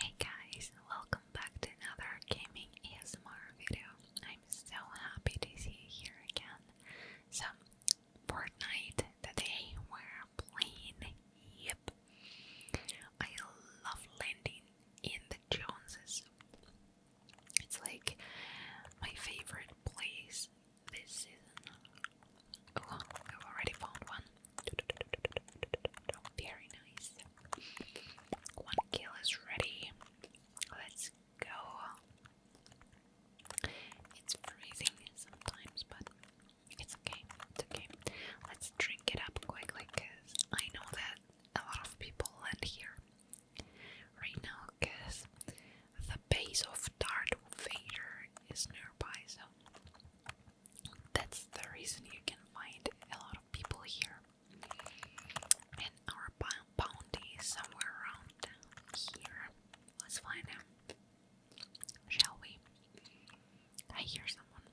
Hey guys, welcome back to another gaming ASMR video. I'm so happy to see you here again. So, Fortnite today we're playing. Yep, I love landing in the Joneses. It's like my favorite place this season. Oh, I've already found one. Very nice. One kill is ready. Let's go. It's freezing sometimes, but it's okay. It's okay. Let's drink it up quickly because I know that a lot of people land here right now because the base of Darth Vader is nearby, so that's the reason you can find a lot of people here. And our bounty is somewhere around here. Let's find him. Shall we? I hear someone.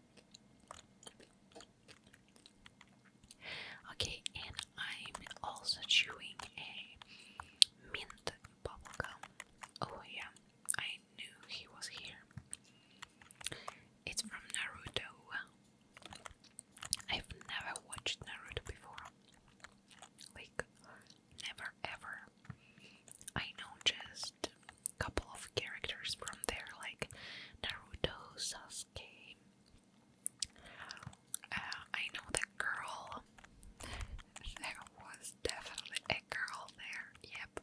Okay, and I'm also chewing a mint bubblegum. Oh, yeah, I knew he was here. It's from Naruto. I've never watched Naruto before. Like, never ever. I know just a couple of characters from there, like Naruto, Sasuke. Uh, I know the girl. There was definitely a girl there, yep.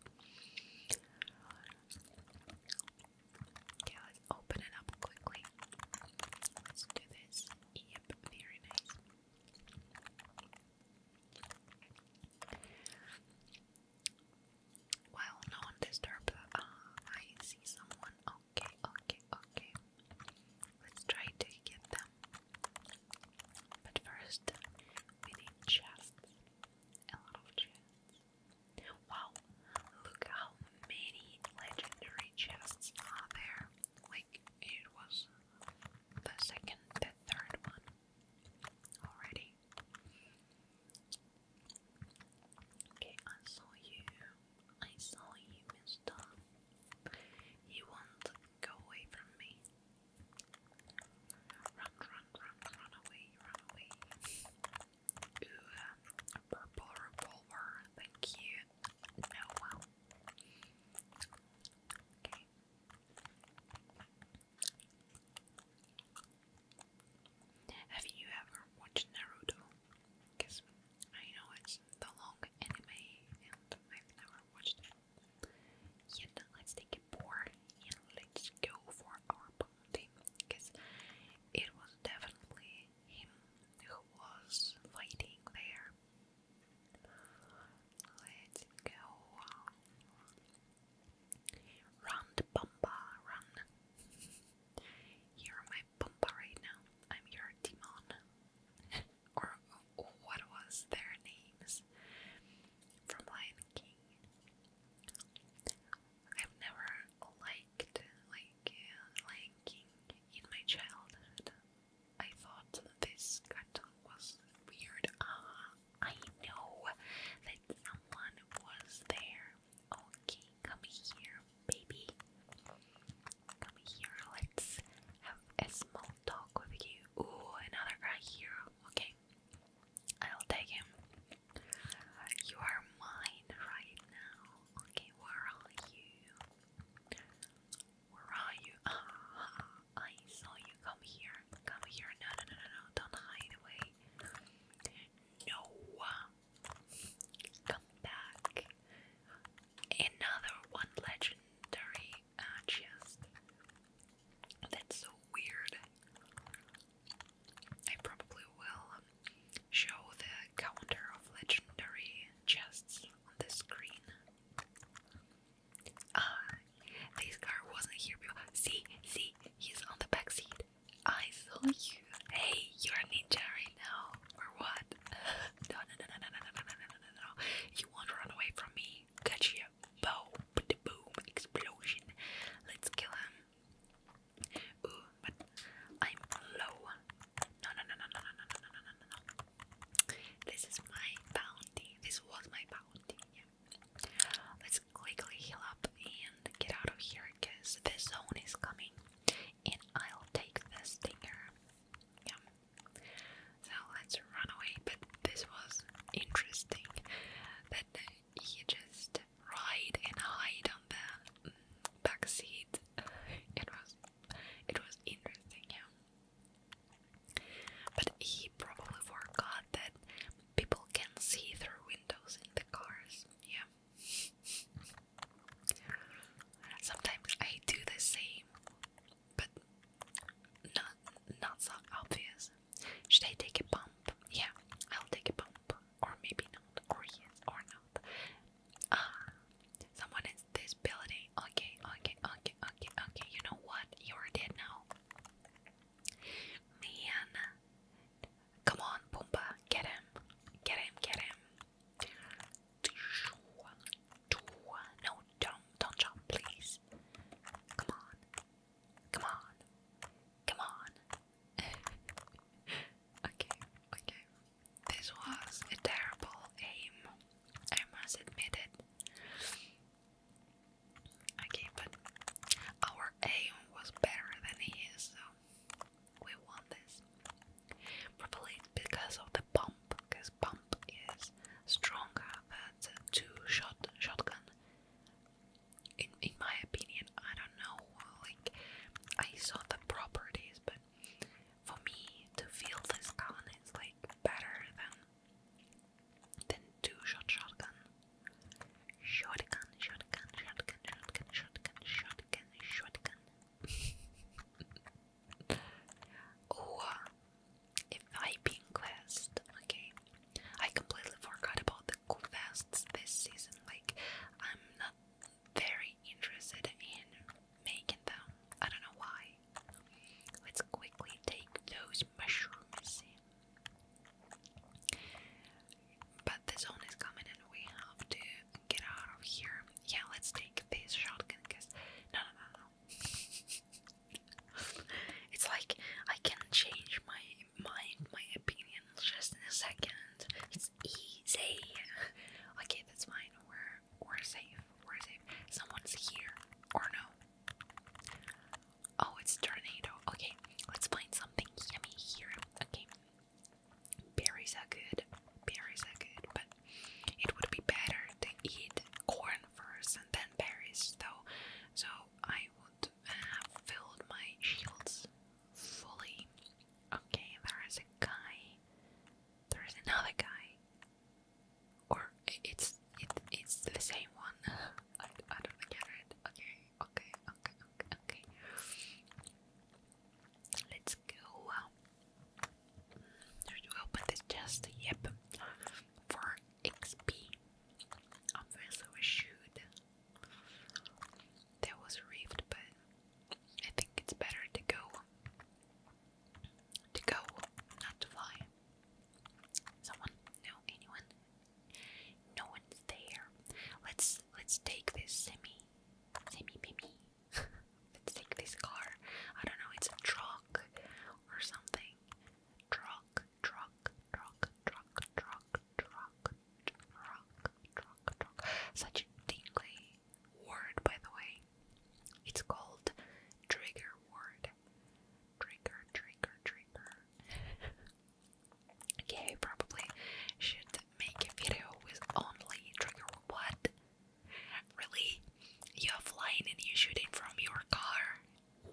Okay, let's open it up quickly. Let's do this. Yep, very nice. Well, no disturbed. Uh, I see someone. Okay, okay, okay. Let's try to get them. But first, we need chests a lot of Wow, look how many legendary chests are there. Like, it was the second, the third one already. Okay, I saw you. I saw you, mister. You won't go away from me. Run, run, run, run away, run away. Ooh, purple revolver, thank you. No, oh, wow. Have you ever watched Naruto? Because I know it's the long anime and I've never watched it. Yet, let's take a more let's go for our party because it was definitely him who was fighting there. Let's go. Run the run. You're my Pampa right now. I'm your Timon. or what was their names? From Lion King. I've never liked like uh, in my childhood. I thought this cartoon was weird. Ah, I know that someone was there. Okay, come here, baby. Come here, let's have a small talk with you. Ooh, another guy here. Okay. I'll take him. You are mine right now. Okay, where are you? Where are you? Ah, I saw you. Come here. Come here. No, no, no, no, no. Don't hide away. No. Come back. Another one legendary uh, chest. That's so weird. I probably will show the counter of legendary chests on the screen. this car wasn't here See, see, he's on the back seat. I saw you. Hey, you're a ninja right now, or what? no, no, no, no, no, no, no, no, no, no, no. You won't run away from me. Gotcha. Bow. The boom. Explosion. Let's kill him. Ooh, but I'm low. No, no, no, no, no, no, no, no, no, no, no. This is my bounty. This was my bounty. Yeah. Let's quickly heal up and get out of here because this zone is coming and I'll take the stinger. Yeah. So let's run away. But this was interesting. But you just ride and hide on the mm, back seat. it was it was interesting, yeah. But he probably forgot that people can see through windows in the cars, yeah. Sometimes I do the same, but not not so obvious. Should I take a pump? Yeah, I'll take a pump. Or maybe not. Or yes, or not. Ah, someone is this Okay, okay, okay, okay, okay. You know what? You're dead now. Man. Come on, Pumba. Get him. Get him, get him. No, don't, don't jump, please. Come on. Come on. Come on. okay, okay. This was a terrible aim. I must admit it. Okay, but our aim was better than his, so we won this. Probably because of the pump, because pump is stronger than the two shot shotgun in in my opinion, I don't know. Like I saw the properties, but for me to feel this gun is like better than than two shot shotgun. Shotgun, shotgun, shotgun, shotgun, shotgun, shotgun, shotgun. Viping quest. Okay, I completely forgot about the quests this season. Like, I'm not very interested in making them. I don't know why. Let's quickly take those mushrooms But the zone is coming, and we have to get out of here. Yeah, let's take this shotgun. Cause no, no, no, no. it's like I can change my mind, my opinion just in a second. It's easy. okay, that's fine. We're we're safe. We're safe. Someone's here or no? Oh, it's tornado. Okay, let's find something yummy here. Okay, berries are good. Berries are good, but it would be better to eat corn first and then berries, though. So I would have filled my shields fully. Okay, there is a guy. There is another guy. Or it's it, it's the same one. I, don't get it. okay, okay, okay, okay. Let's go. Should we open this chest? Yep. For XP. Our first was There was rift, but I think it's better to go. To go, not to fly. Someone? No, anyone? No one's there. Let's let's take this semi, semi baby. let's take this car. I don't know. It's a truck or something. Truck truck, truck, truck, truck, truck, truck, truck, truck. Such a tingly word, by the way. It's called trigger word. Trigger, trigger, trigger. okay, probably should make a video with only trigger what? Really? You're flying and you're shooting from your car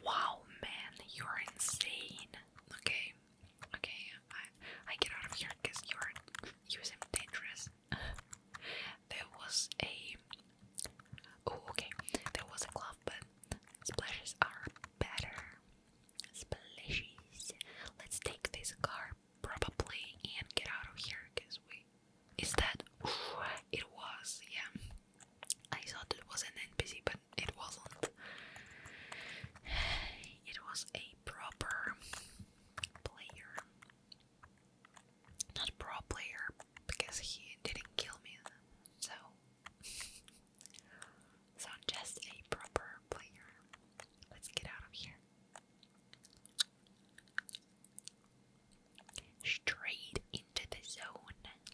Wow, man, you're insane. Okay, okay, I, get out of here because you're using dangerous. there was a oh, okay, there was a glove, but splashes are better. Splashes. Let's take this car probably and get out of here because we is that it was yeah I thought it was an NPC, but it wasn't. It was a proper player. Not pro player, because he didn't kill me, so. So, just a proper player. Let's get out of here. Straight into the zone.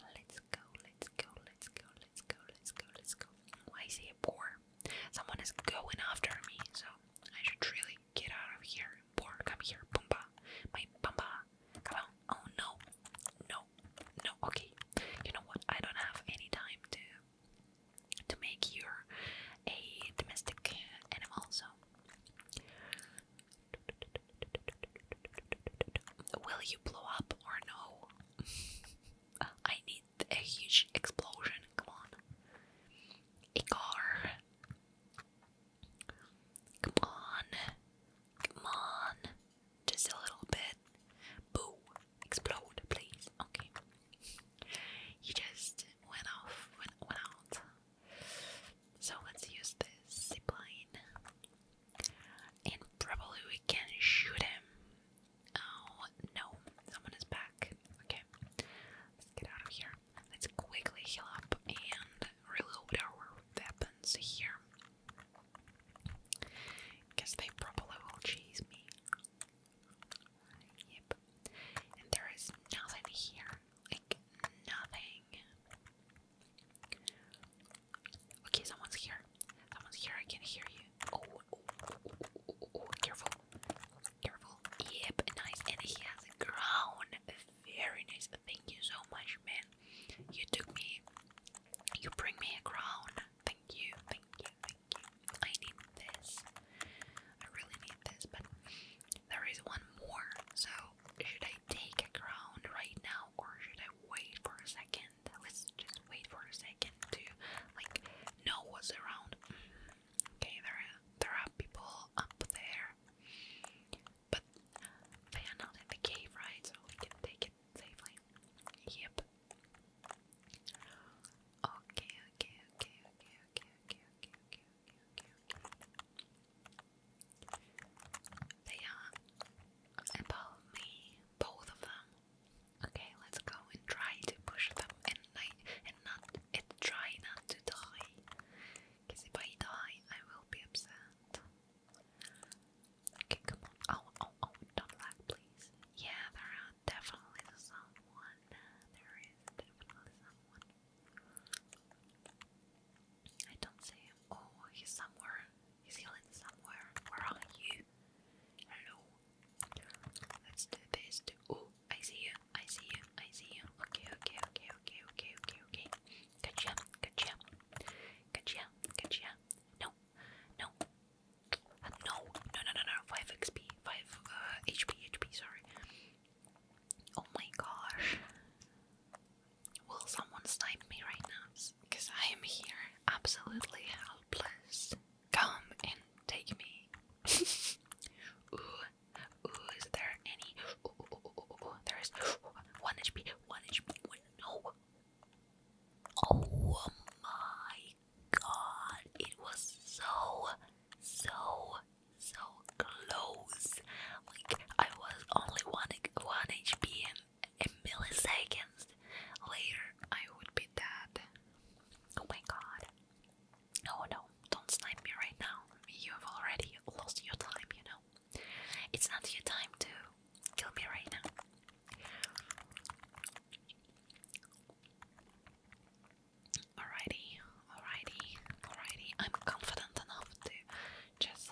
Let's go, let's go, let's go, let's go, let's go, let's go. Why is he a boar? Someone is going after me, so I should really get out of here. Boar, come here, Pumba. My Pumba. Come on. Oh no. No. No. Okay. You know what? I don't have any time to to make you a domestic animal, so Will you blow up or no? I need a huge explosion, come on. A car. Come on. Come on. Just a little bit. Boo. Explode, please. Okay. He just went off, went, went out. So let's use this zipline. And probably we can shoot him. Oh no, someone is back. Okay, let's get out of here. Let's quickly heal up and reload our weapons here. Because they probably will chase me. Yep. And there is nothing here. Like, nothing. Okay, someone's here. Someone's here. I can hear you. oh. careful, careful. Yep, nice. And he has a crown. Very nice. Thank you so much, man. You took me. You bring me a crown. Thank you. Thank you. Thank you. I need this. I really need this, but there is one more. So should I take a crown right now or should I wait for a second? Let's just wait for a second to like know what's around. Mm-hmm. Okay, there are, there are people up there, but they are not in the cave, right? So we can take it safely. Yep. okay, okay, okay, okay, okay, okay, okay, okay, okay. They are about me, both of them. Okay, let's go and try to push them I, and not and try not to die. Because if I die, I will be upset. Okay, come on. Oh, oh, oh, don't lag, please. Yeah, there are definitely someone. There is definitely someone. I don't see him. Oh, he's somewhere. He's healing somewhere. Where are you? Hello. Let's do this. Too. Oh, I see you. I see you. I see you. Okay, okay, okay, okay, okay, okay, okay. Gotcha. Gotcha. Gotcha. Gotcha. No. No. Uh, no. No, no, no, no. 5 XP. 5 uh, HP. HP, sorry. Oh my gosh. Will someone snipe me right now? Because I am here absolutely helpless. Come and take me. ooh, ooh, is there any? Ooh, ooh, ooh, ooh, ooh, there is one HP, one HP, one. No. Oh my god, it was so, so, so close. Like, I was only one, one HP a millisecond later I would be dead. Oh my god. Oh no, don't snipe me right now. You have already lost your time, you know. It's not your time to kill me right now. Alrighty, alrighty, alrighty. I'm confident enough to just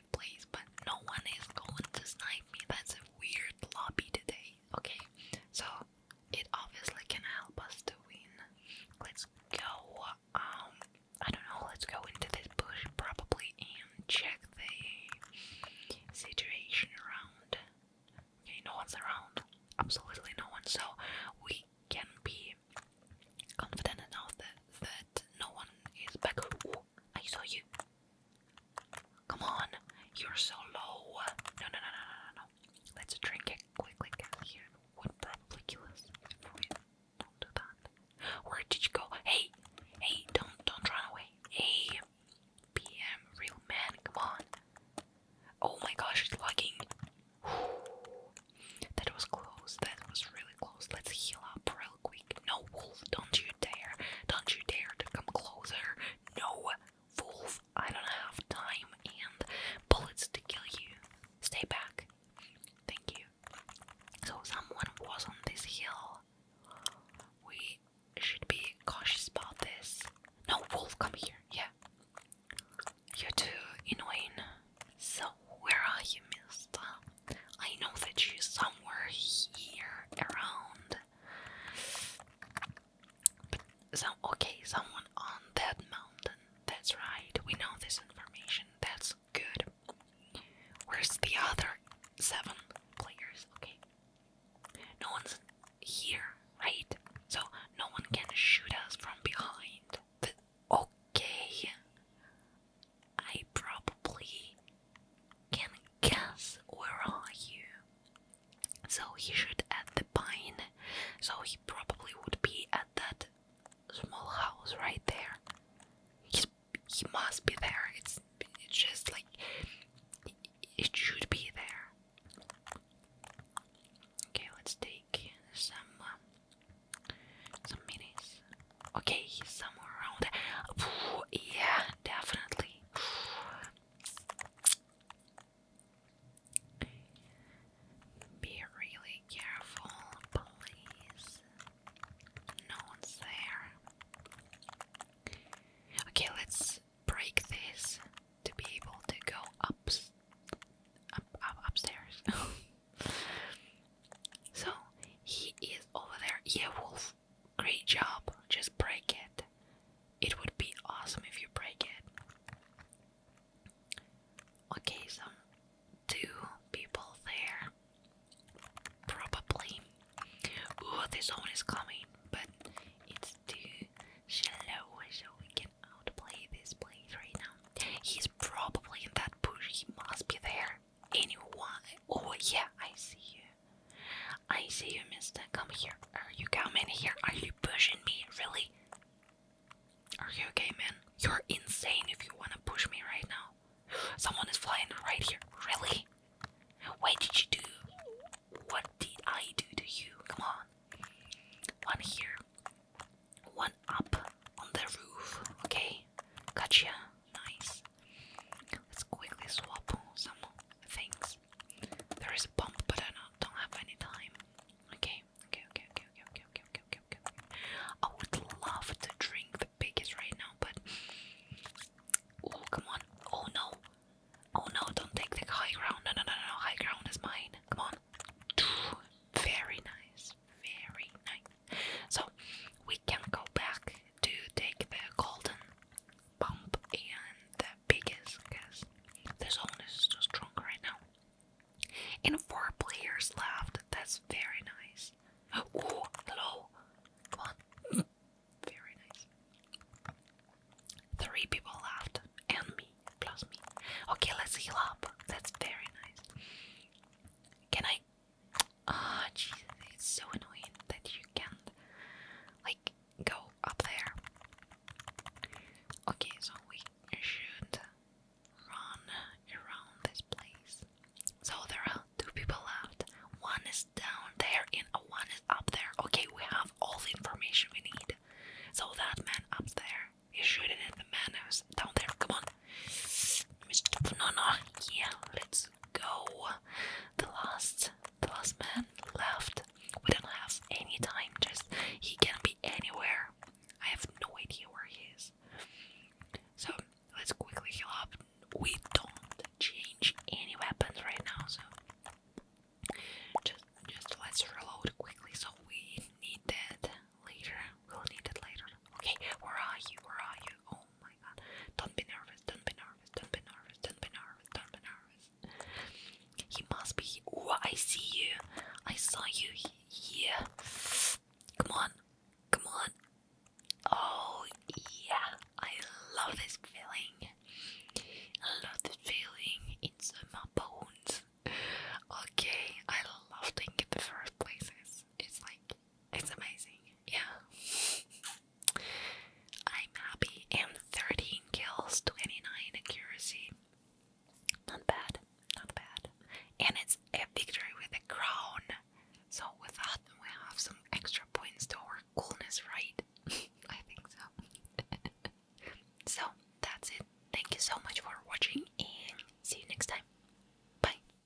safe place, but no one is going to snipe me. That's a weird lobby today. Okay, so it obviously can help us to win. Let's go. Um, I don't know. Let's go into this bush probably and check the situation around. Okay, no one's around. Absolutely no one. So we can be confident enough that that no one is back. I saw you. Come on, you're so low. No, no, no, no, no, no, Let's drink it quickly. Here would probably kill us Don't do that. Where did you go? Hey, hey, don't, don't run away. Hey, real man, come on. Oh my gosh, it's lagging. That was close. That was really close. Let's heal up real quick. No, wolf, don't you dare. Don't you dare to come closer. No, wolf, I don't have time and bullets to kill you. Stay back. Thank you. So, someone was on this hill. We should be cautious about this. No, wolf, come here. Yeah. You too, annoying. So, where are you, mister? I know that she's somewhere here around. so okay, someone on that mountain. That's right. We know this information. That's good. Where's the other seven players? Okay. No one's here, right? So no one can shoot us from behind. okay. I probably can guess where are you. So he should at the pine. So he probably would be at that small house right there. He's, he must be there. It's it's just like it should be there. Okay, let's take some uh, some minis. Okay, he's somewhere around there. Yeah, definitely. Be really careful, please. No one's there. Okay, let's break this to be able to go up, up, up upstairs. so he is over there. Yeah, wolf great job. Just break it. It would be awesome if you break it. Okay, so two people there. Probably. Ooh, this one is coming, but it's too shallow, so we can outplay this place right now. He's probably in that bush. He must be there anyone. Oh, yeah, I see you. I see you, mister. Come here. Are you coming here? Are you pushing me? Really? Are you okay, man? You're insane if you wanna push me right now. Someone is flying right here. Really? What did you do? What did I do to you? Come on. One here. One up on the roof. Okay? Gotcha. Nice. Let's quickly swap some things. There is a pump, but I don't have any time. Okay, okay, okay, okay, okay, okay, okay, okay, okay, I would love to drink the biggest right now, but oh come on! Oh no! Oh no! Don't take the high ground! No, no, no, no! High ground is mine. Come on! Very nice, very nice. So we can go back to take the golden pump and the biggest because the zone is too strong right now. And four players left, that's very nice. Ooh, hello! Come Very nice. Three people left, and me, plus me. Okay, let's heal up. That's very nice. Can I Ah, oh, Jesus, it's so annoying that you can't, like, go up there. Okay, so we should run around this place. So there are two people left. One is down there and one is up there. Okay, we have all the information we need. So that man up there is shooting at the man who's down there. Come on, Mr. Banana, yeah, let's go. The last, the last man left. We don't have any time. Just he can be anywhere. I have no idea where he is. So let's quickly heal up. We don't change any weapons right now, so just just let's reload quickly. So we need that later. We'll need it later. Okay, where are you? Where are you? Oh, Oh my god. Don't be nervous, don't be nervous, don't be nervous, don't be nervous, don't be nervous. He must be. Oh, I see you. I saw you. Yeah. Come on. Come on. Oh, yeah. I love this feeling. I love this feeling. It's in my bones. Okay. I love being in the first places. It's like, it's amazing yeah. I'm happy. And 13 kills, 29 accuracy. Not bad. Not bad. And it's a victory with a crown. So with that, we have some extra points to our coolness, right? I think so. so that's it. Thank you so much for watching and see you next time. Bye.